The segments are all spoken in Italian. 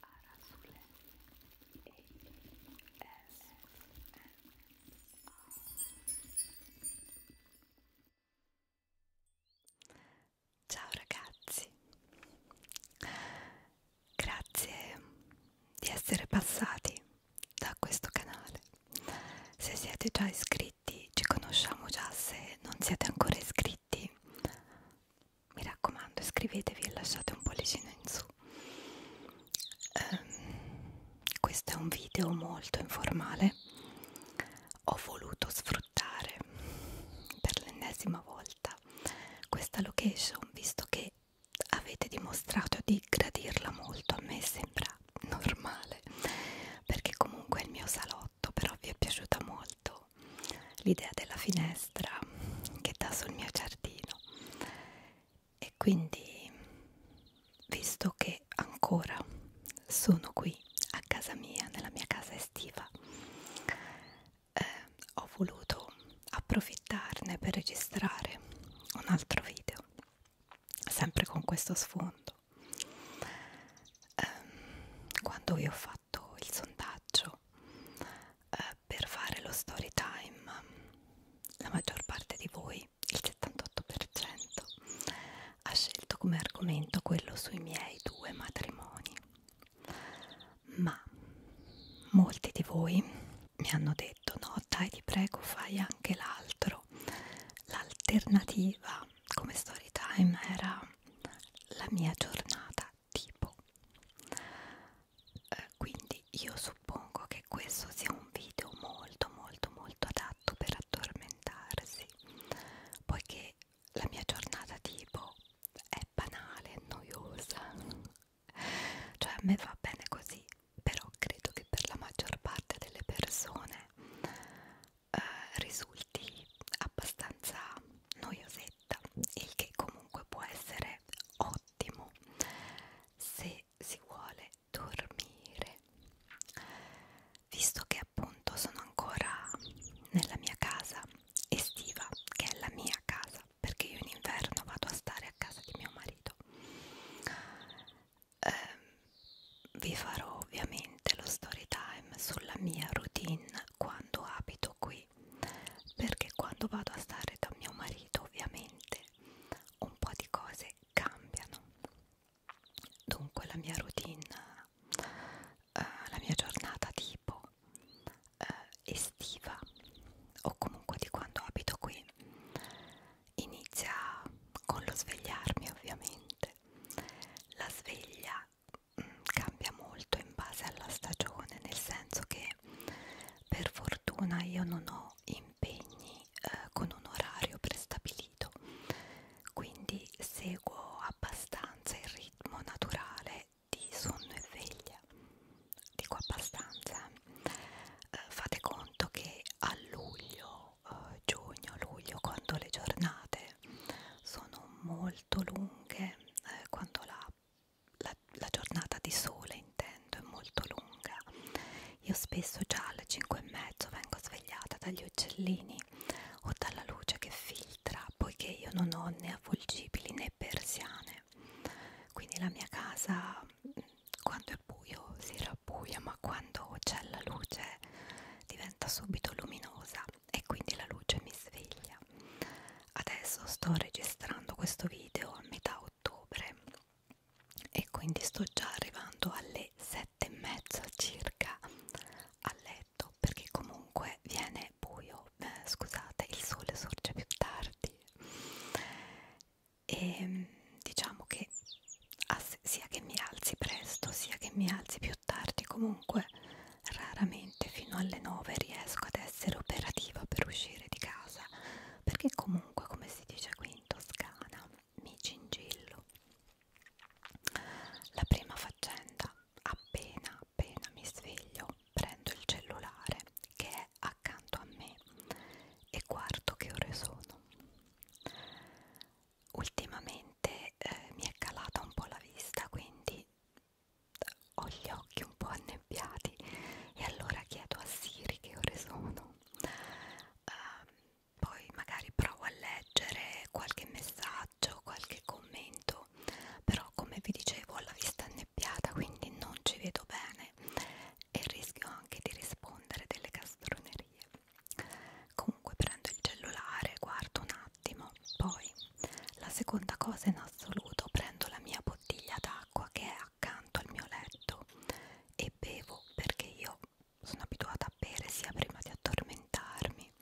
Arazule Ciao ragazzi, grazie di essere passati da questo canale. Se siete già iscritti effetti ci conosciamo già se non siete ancora iscritti mi raccomando iscrivetevi e lasciate un pollicino in su um, questo è un video molto informale ho voluto sfruttare per l'ennesima volta questa location visto che avete dimostrato di gradirla molto a me sembra normale volte perché comunque il mio salotto però vi è piaciuta molto l'idea della finestra che dà sul mio giardino e quindi visto che ancora sono qui a casa mia nella mia casa estiva eh, ho voluto approfittarne per registrare un altro video sempre con questo sfondo ehm, quando vi ho fatto il sondaggio eh, per fare lo story time la maggior parte di voi il 78% ha scelto come argomento quello sui miei due matrimoni ma molti di voi mi hanno detto no dai ti prego fai anche l'altro l'alternativa come story time era la mia giornata tipo eh, quindi io suppongo che questo sia un video molto molto molto adatto per addormentarsi poiché la mia giornata tipo è banale, noiosa cioè a me va bene così però credo che per la maggior parte delle persone eh, risulti abbastanza noiosetta, il che comunque può essere ottimo se si vuole dormire. Visto che appunto sono ancora nella mia casa estiva, che è la mia casa, perché io in inverno vado a stare a casa di mio marito. Eh, vi farò ovviamente lo story time sulla mia routine quando abito qui perché quando vado a stare da mio marito ovviamente un po' di cose cambiano dunque la mia routine eh, la mia giornata tipo eh, estiva o comunque di quando abito qui inizia con lo svegliarmi ovviamente la sveglia cambia molto in base alla stagione, nel senso che per fortuna io non ho impegni eh, con un orario prestabilito, quindi seguo abbastanza il ritmo naturale di sonno e veglia. Dico abbastanza. Eh, fate conto che a luglio eh, giugno, luglio, quando le giornate sono molto lunghe, eh, quando la, la, la giornata di sole intendo è molto lunga, io spesso già alle 5 e mezzo vengo svegliata dagli uccellini o dalla luce che filtra, poiché io non ho né avvolgibili né persiane, quindi la mia casa quando è buio si rabbuia, ma quando c'è la luce diventa subito luminosa e quindi la luce mi sveglia. Adesso sto registrando questo video a metà ottobre e quindi sto già arrivando alle sette e mezza circa a letto perché comunque viene buio, eh, scusate, il sole sorge più tardi e ehm, diciamo che ah, sia che mi alzi presto sia che mi alzi più tardi comunque raramente fino alle 9 riesco ad essere operativa per uscire di casa perché comunque come si dice qui in Toscana mi cingillo la prima faccenda appena appena mi sveglio prendo il cellulare che è accanto a me e guardo che ore sono ultimamente eh, mi è calata un po' la vista quindi ho gli occhi un po' annebbiati e allora chiedo a Siri che ore sono uh, poi magari provo a leggere qualche messaggio qualche commento però come vi dicevo ho la vista annebbiata quindi non ci vedo bene e rischio anche di rispondere delle castronerie comunque prendo il cellulare guardo un attimo poi la seconda cosa in assoluto prendo la mia bottiglia d'acqua che è accanto al mio letto e bevo perché io sono abituata a bere sia prima di addormentarmi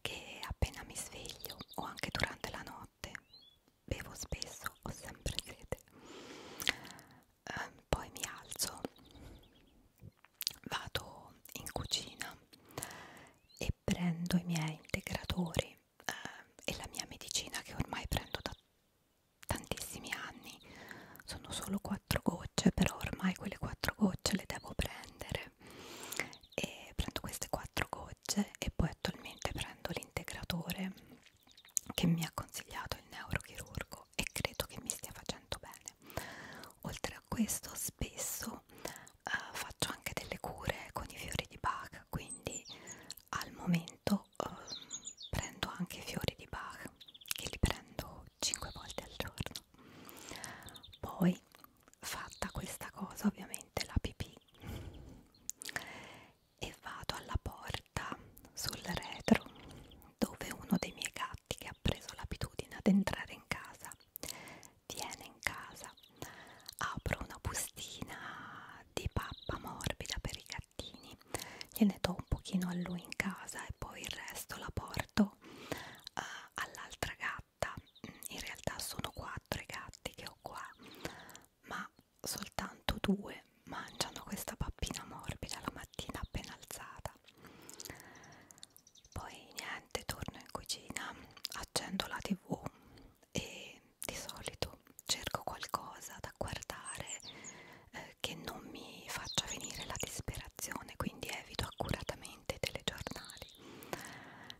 che appena mi sveglio o anche durante la notte bevo spesso ho sempre sete eh, poi mi alzo vado in cucina e prendo i miei integratori eh, e la mia medicina che ormai prendo da tantissimi anni sono solo quattro gocce però ormai quelle quattro gocce le devo prendere e prendo queste quattro gocce e poi attualmente prendo l'integratore che mi ha consigliato il neurochirurgo e credo che mi stia facendo bene Oltre a questo spesso uh, faccio anche delle cure con i fiori di Bach, quindi al momento uh, prendo anche i fiori di Bach, che li prendo 5 volte al giorno. Poi fatta questa cosa ovviamente la pipì e vado alla porta sul retro dove uno dei miei gatti infatti che ha preso l'abitudine ad entrare in casa tiene in casa apro una bustina di pappa morbida per i gattini gliene do un pochino a lui in casa e poi il resto la porto uh, all'altra gatta in realtà sono quattro i gatti che ho qua ma soltanto due mangiano questa pappina morbida la mattina appena alzata poi niente torno in cucina accendo la tv e di solito cerco qualcosa da guardare eh, che non mi faccia venire la disperazione quindi evito accuratamente i telegiornali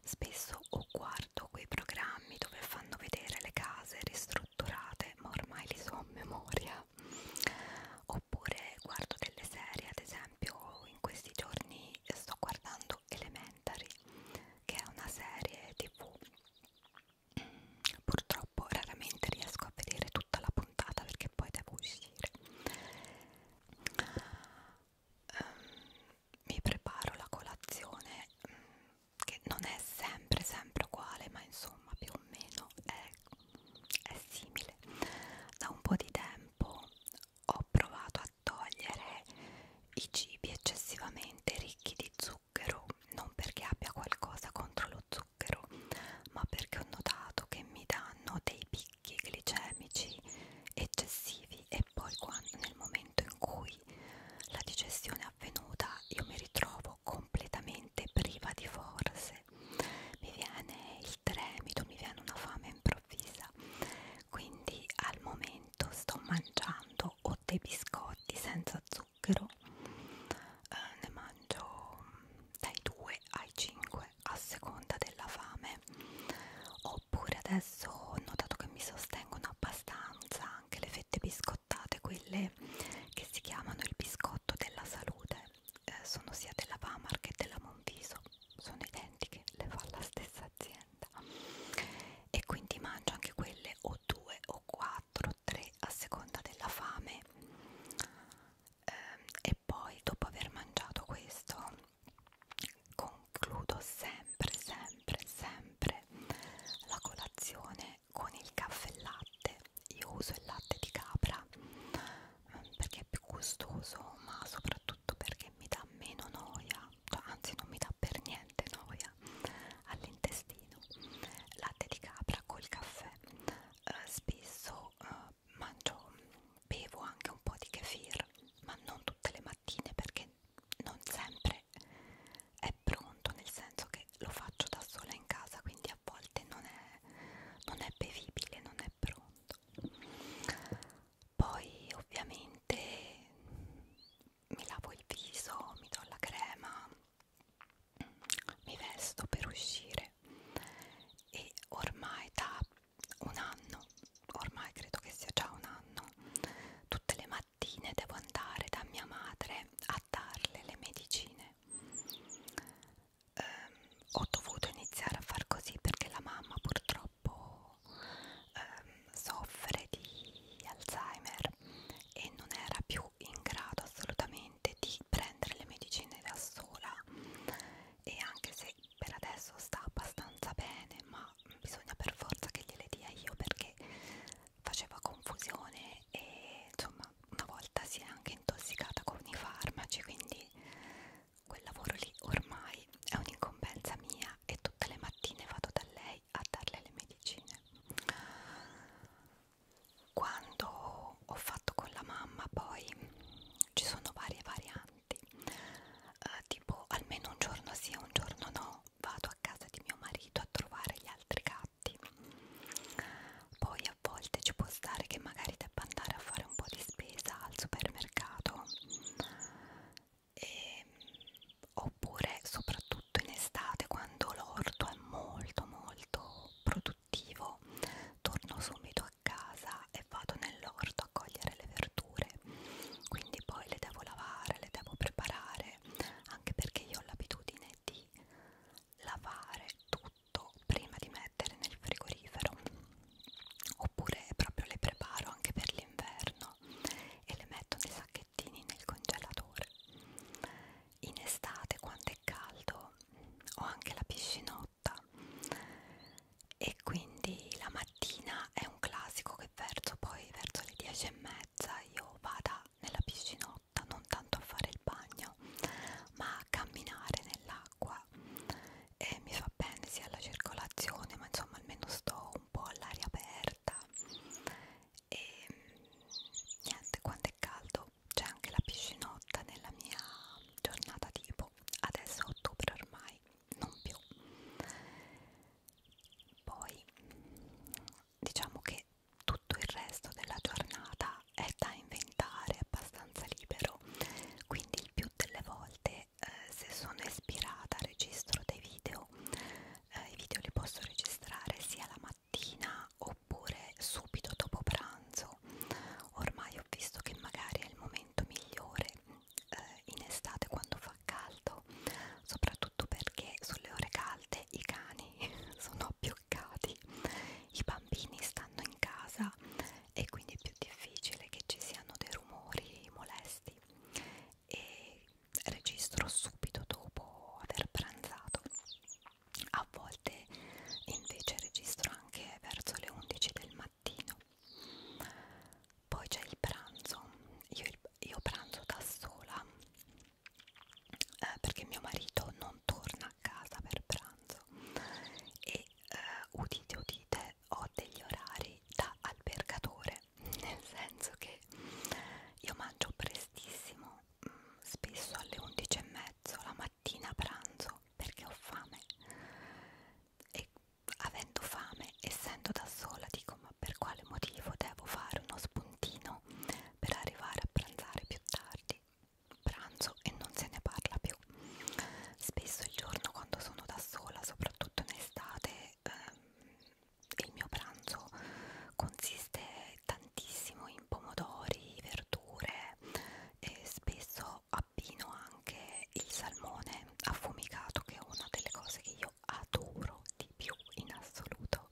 spesso o guardo quei programmi dove fanno vedere le case ristrutturate ma ormai li so a memoria oppure guardo delle serie ad esempio esempio in questi giorni sto guardando Elementary che è una serie tv mm, purtroppo raramente riesco a vedere tutta la puntata perché poi devo uscire um, mi preparo la colazione um, che non è sempre sempre uguale ma insomma più o meno è, è simile da un po' di tempo tempo ho provato a togliere i cibi eccessivamente ricchi di zucchero, non perché abbia qualcosa contro lo zucchero, ma perché ho notato che mi danno dei picchi glicemici eccessivi e poi quando, nel momento in cui la digestione è avvenuta io mi ritrovo completamente priva di forze mese mi viene il tremito, mi viene una fame improvvisa quindi al momento sto mangiando o dei biscotti senza zucchero eh, ne mangio dai 2 ai 5 a seconda della fame oppure adesso ho notato che mi sostengono abbastanza anche le fette biscottate quelle che si chiamano il biscotto della salute eh, sono sia della Vamar che della Monviso, sono identiche, le fa la stessa azienda e quindi mangio anche quelle o due o quattro o tre a seconda della fame ehm, e poi dopo aver mangiato questo concludo sempre sempre sempre la colazione con il caffè latte io uso il latte di capra perché è più gustoso ma soprattutto perché mi dà meno noia cioè, anzi non mi dà per niente noia all'intestino latte di capra col caffè eh, spesso eh, mangio bevo anche un po' di kefir ma non tutte le mattine perché non sempre è pronto nel senso che lo faccio da sola in casa quindi a volte non è, non è bevibile non è pronto poi ovviamente mi lavo il viso, mi do la crema, mi vesto per uscire e ormai da un anno, ormai credo che sia già un anno, tutte le mattine devo andare da mia madre a darle le medicine ehm, ho dovuto iniziare a far così perché la mamma purtroppo ehm, soffre di Alzheimer e non era più in grado assolutamente di prendere le medicine da sola e anche se per adesso sta abbastanza bene ma bisogna per forza che gliele dia io perché faceva confusione e insomma una volta si è anche intossicata con i farmaci quindi quel lavoro lì ormai è un'incombenza mia e tutte le mattine vado da lei a darle le medicine quando ho fatto con la mamma poi ci sono varie varianti eh, tipo almeno un giorno sì e un giorno no vado a casa di mio marito a trovare gli altri gatti poi quindi a volte ci può stare che magari debba andare a fare un po' di spesa al supermercato e, ehm, oppure soprattutto in estate quando l'orto è molto molto produttivo torno subito a casa e vado nell'orto a cogliere le verdure quindi poi le devo lavare, le devo preparare anche perché io ho l'abitudine di lavare tutto fatto prima di mettere nel frigorifero oppure proprio le preparo anche per l'inverno e le metto nei sacchettini nel congelatore in estate quando è caldo ho anche la piscinotta e quindi la mattina è un classico che verso poi verso le 10 e mezza io vada nella piscinotta non tanto a fare il bagno ma a camminare nell'acqua e mi fa bene sia alla circolazione ma insomma almeno sto un po' all'aria aperta e niente quando è caldo c'è anche la piscinotta nella mia giornata tipo adesso è ottobre ormai non più poi diciamo che tutto il resto della giornata realtà è da inventare, è abbastanza libero, quindi il più delle volte eh, se sono ispirata registro dei video, eh, i video li posso registrare sia la mattina oppure subito dopo pranzo, ormai ho visto che magari è il momento migliore eh, in estate quando fa caldo, soprattutto perché sulle ore calde i cani sono abbioccati, i bambini stanno in casa e quindi è più difficile che ci siano dei rumori molesti e registro subito dopo aver pranzato a volte invece registro anche verso le 11 del mattino poi c'è il pranzo io, io pranzo da sola eh, perché mio marito non torna a casa per pranzo e eh, udite udite ho degli orari da albergatore nel senso che io mangio prestissimo mm, spesso alle 11 e mezzo la mattina pranzo perché ho fame e avendo fame essendo da sola dico ma per quale motivo devo fare uno spuntino per arrivare a pranzare più tardi pranzo e non se ne parla più. Spesso il giorno quando sono da sola, soprattutto in estate, eh, il mio pranzo consiste tantissimo in pomodori, verdure e spesso abbino anche il salmone affumicato che è una delle cose che io adoro di più in assoluto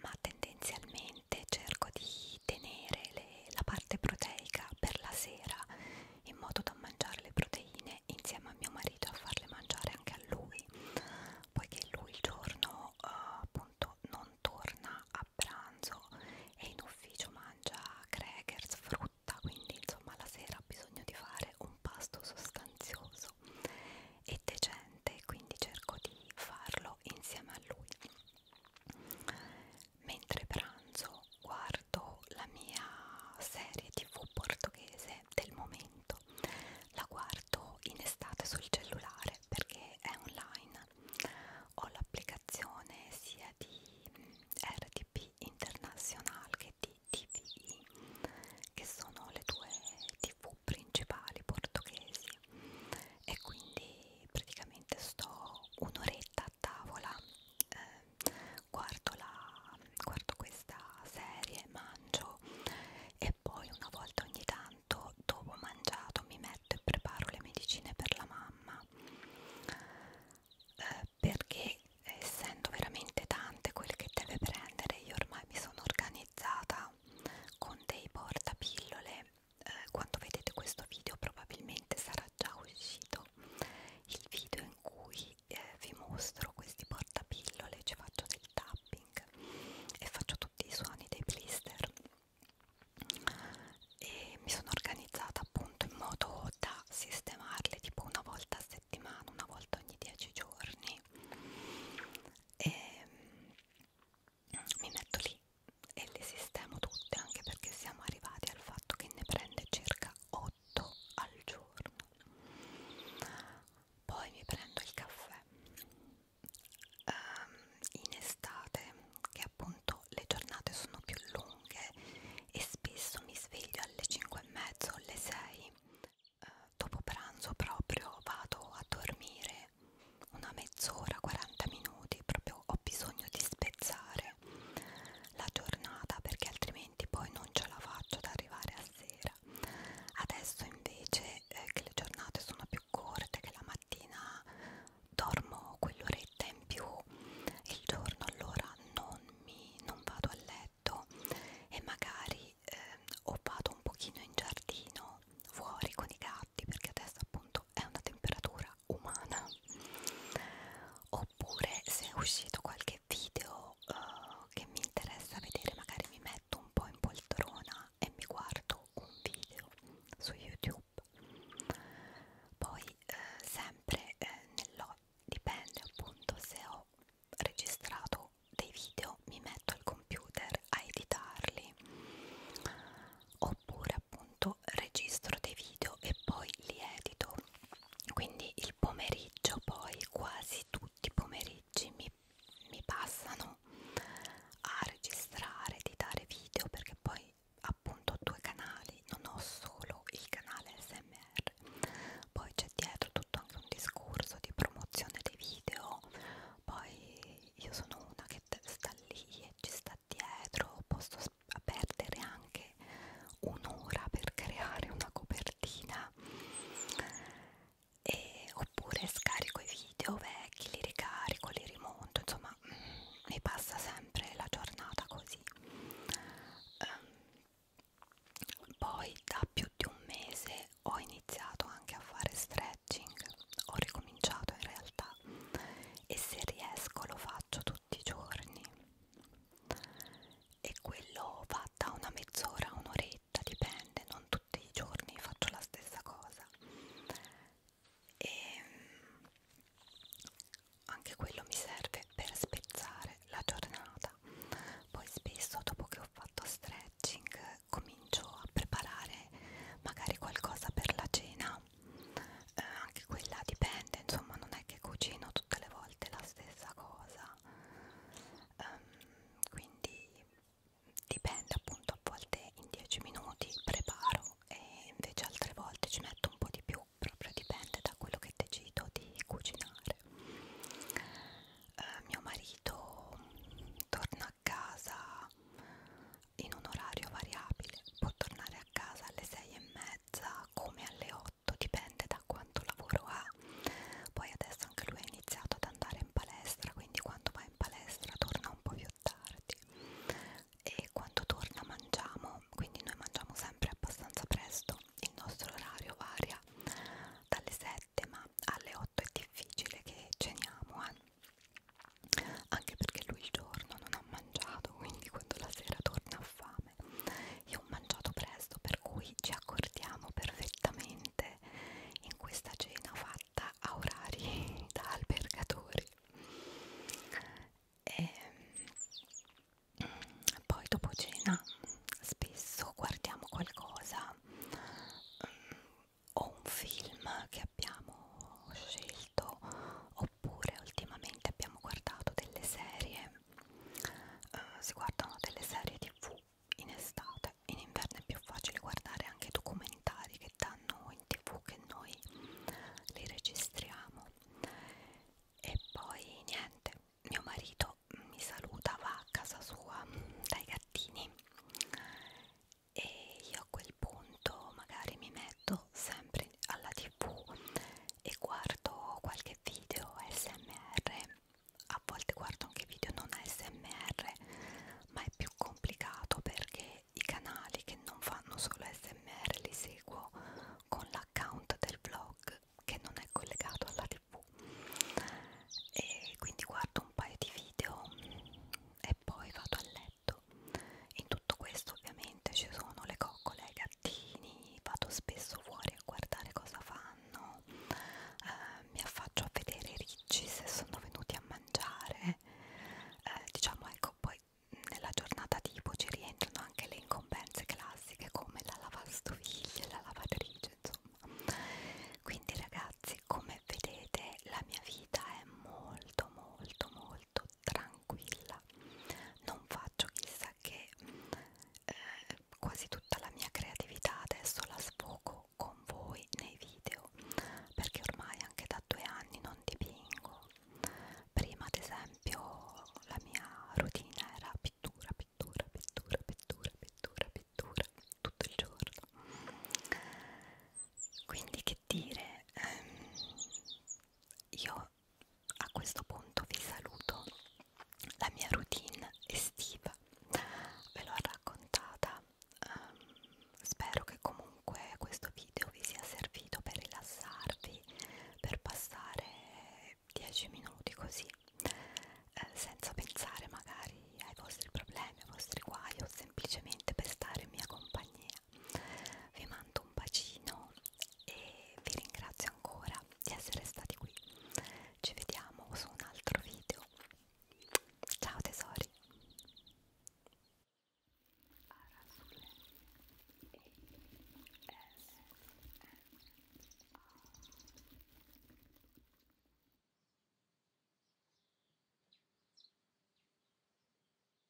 ma tendenzialmente solitamente cerco di tenere le, la parte proteica per la sera in modo da mangiare le proteine insieme a mio marito a farle mangiare anche a lui poiché lui il giorno uh, appunto non torna a pranzo e in ufficio mangia crackers, frutta quindi insomma la sera ha bisogno di fare un pasto sostanzioso e decente quindi cerco di farlo insieme a lui mentre pranzo guardo la mia serie tv portoghese del momento la guardo in estate sul cellulare perché è online ho l'applicazione sia di mm, RTP International che di TVI che sono le due tv principali portoghesi e quindi e praticamente sto un'oretta a tavola, eh, guardo, la, guardo questa serie, mangio e poi una volta ogni tanto dopo mangiato mi metto e preparo le medicine per la mamma eh, perché essendo veramente tante quel che deve prendere io ormai mi sono organizzata con dei portapillole eh, quando vedete questo video probabilmente sarà già uscito il video in cui eh, vi mostro questi portapillole, ci faccio del tapping e faccio tutti i suoni dei blister e mi sono organizzata appunto in modo da sistemarle tipo una volta a settimana, una volta ogni 10 giorni e ehm, mi metto lì e le sistemo tutte anche perché siamo arrivati al fatto che ne prende circa 8 al giorno poi mi prendo il caffè um, in estate che appunto le giornate sono più lunghe e spesso mi sveglio alle 5 e mezzo alle 6 uh, eh, dopo pranzo proprio vado a dormire una mezz'ora, 40 minuti, proprio ho bisogno di spezzare la giornata perché altrimenti poi non ce la faccio ad arrivare a sera. Adesso invece eh, che le giornate sono più corte, che la mattina dormo quell'oretta in più il giorno, allora non, mi, non vado a letto e magari eh, o vado un pochino in giardino fuori con i gatti perché adesso appunto uscito è una temperatura umana oppure se è uscito qualche video uh, che mi interessa vedere magari mi metto un po' in poltrona e mi guardo un video su youtube poi eh, sempre eh, nell'ho dipende appunto se ho registrato dei video mi metto al computer a editarli oppure appunto registro dei video e poi li edito quindi il pomeriggio poi quasi tutti i pomeriggi mi, mi passano a registrare, editare video perché poi appunto ho due canali, non ho solo il canale SMR, poi c'è dietro tutto anche un discorso di promozione dei video, poi io sono una che internet sta lì e ci sta dietro posso perdere anche un'ora per creare una copertina e, oppure scarico i video vecchi li ricarico li rimonto insomma mm, mi passa sempre la giornata così um, poi da più di un mese ho iniziato anche a fare stretching ho ricominciato in realtà e se riesco lo faccio tutti i giorni e quello va da una mezz'ora un'oretta dipende non tutti i giorni faccio la stessa cosa e ehm, anche quello mi serve per spezzare la giornata poi spesso dopo che ho fatto stretching comincio a preparare magari qualcosa per la cena eh, anche quella dipende insomma non è che cucino tutte le volte la stessa cosa um, quindi dipende appunto a volte in 10 minuti preparo e invece altre volte ci metto un po' di più proprio dipende da quello che decido di cucinare eh, mio marito torna a casa in un orario variabile, può tornare a casa alle 6 e mezza come alle 8, dipende da quanto lavoro ha. Poi adesso anche lui ha iniziato ad andare in palestra, quindi quando va in palestra torna un po' più tardi e quando torna mangiamo, quindi noi mangiamo sempre abbastanza presto, il nostro orario varia dalle 7 ma alle 8 è difficile che ceniamo. Eh? anche perché lui il giorno non ha mangiato quindi quando la sera torna a fame io ho mangiato presto per cui ci accordiamo perfettamente in questa cena fatta a orari da albergatori e mm, poi dopo cena spesso guardiamo qualcosa mm, o un film che abbiamo scelto o oppure ultimamente abbiamo guardato delle serie eh, si guardano delle serie tv in estate in inverno è più facile guardare anche documentari che danno in tv che noi li registriamo e poi niente mio marito mi saluta va a casa sua dai gattini e io a quel punto magari mi metto sempre alla tv e guardo qualche video smr a volte guardo anche video non smr ma è più complicato perché i canali che non fanno solo smr li seguo con l'account del blog che non è collegato alla tv e quindi guardo un paio di video e poi vado a letto letto. In tutto questo ovviamente ci sono le coccole, i gattini, vado spesso fuori a guardare cosa fanno, eh, mi affaccio a vedere i ricci se sono venuti a mangiare, eh, diciamo ecco poi nella giornata tipo ci rientrano anche le incombenze classiche come la lavastoviglie, la lavatrice insomma quindi ragazzi come vedete la mia vita è molto molto molto molto tranquilla non faccio chissà che eh, quasi tutta la mia creatività adesso la sfogo con voi nei video perché ormai anche da due anni non dipingo prima ad esempio la mia routine era pittura pittura pittura pittura pittura pittura tutto il giorno quindi che dire ehm, io a questo punto vi saluto la mia routine estiva ve l'ho raccontata ehm, spero che comunque questo video vi sia servito per rilassarvi per passare 10 minuti così eh, senza pensare magari ai vostri problemi ai vostri guai o semplicemente per stare in mia compagnia vi mando un bacino e vi ringrazio ancora di essere stati qui ci vediamo su un altro video ciao tesori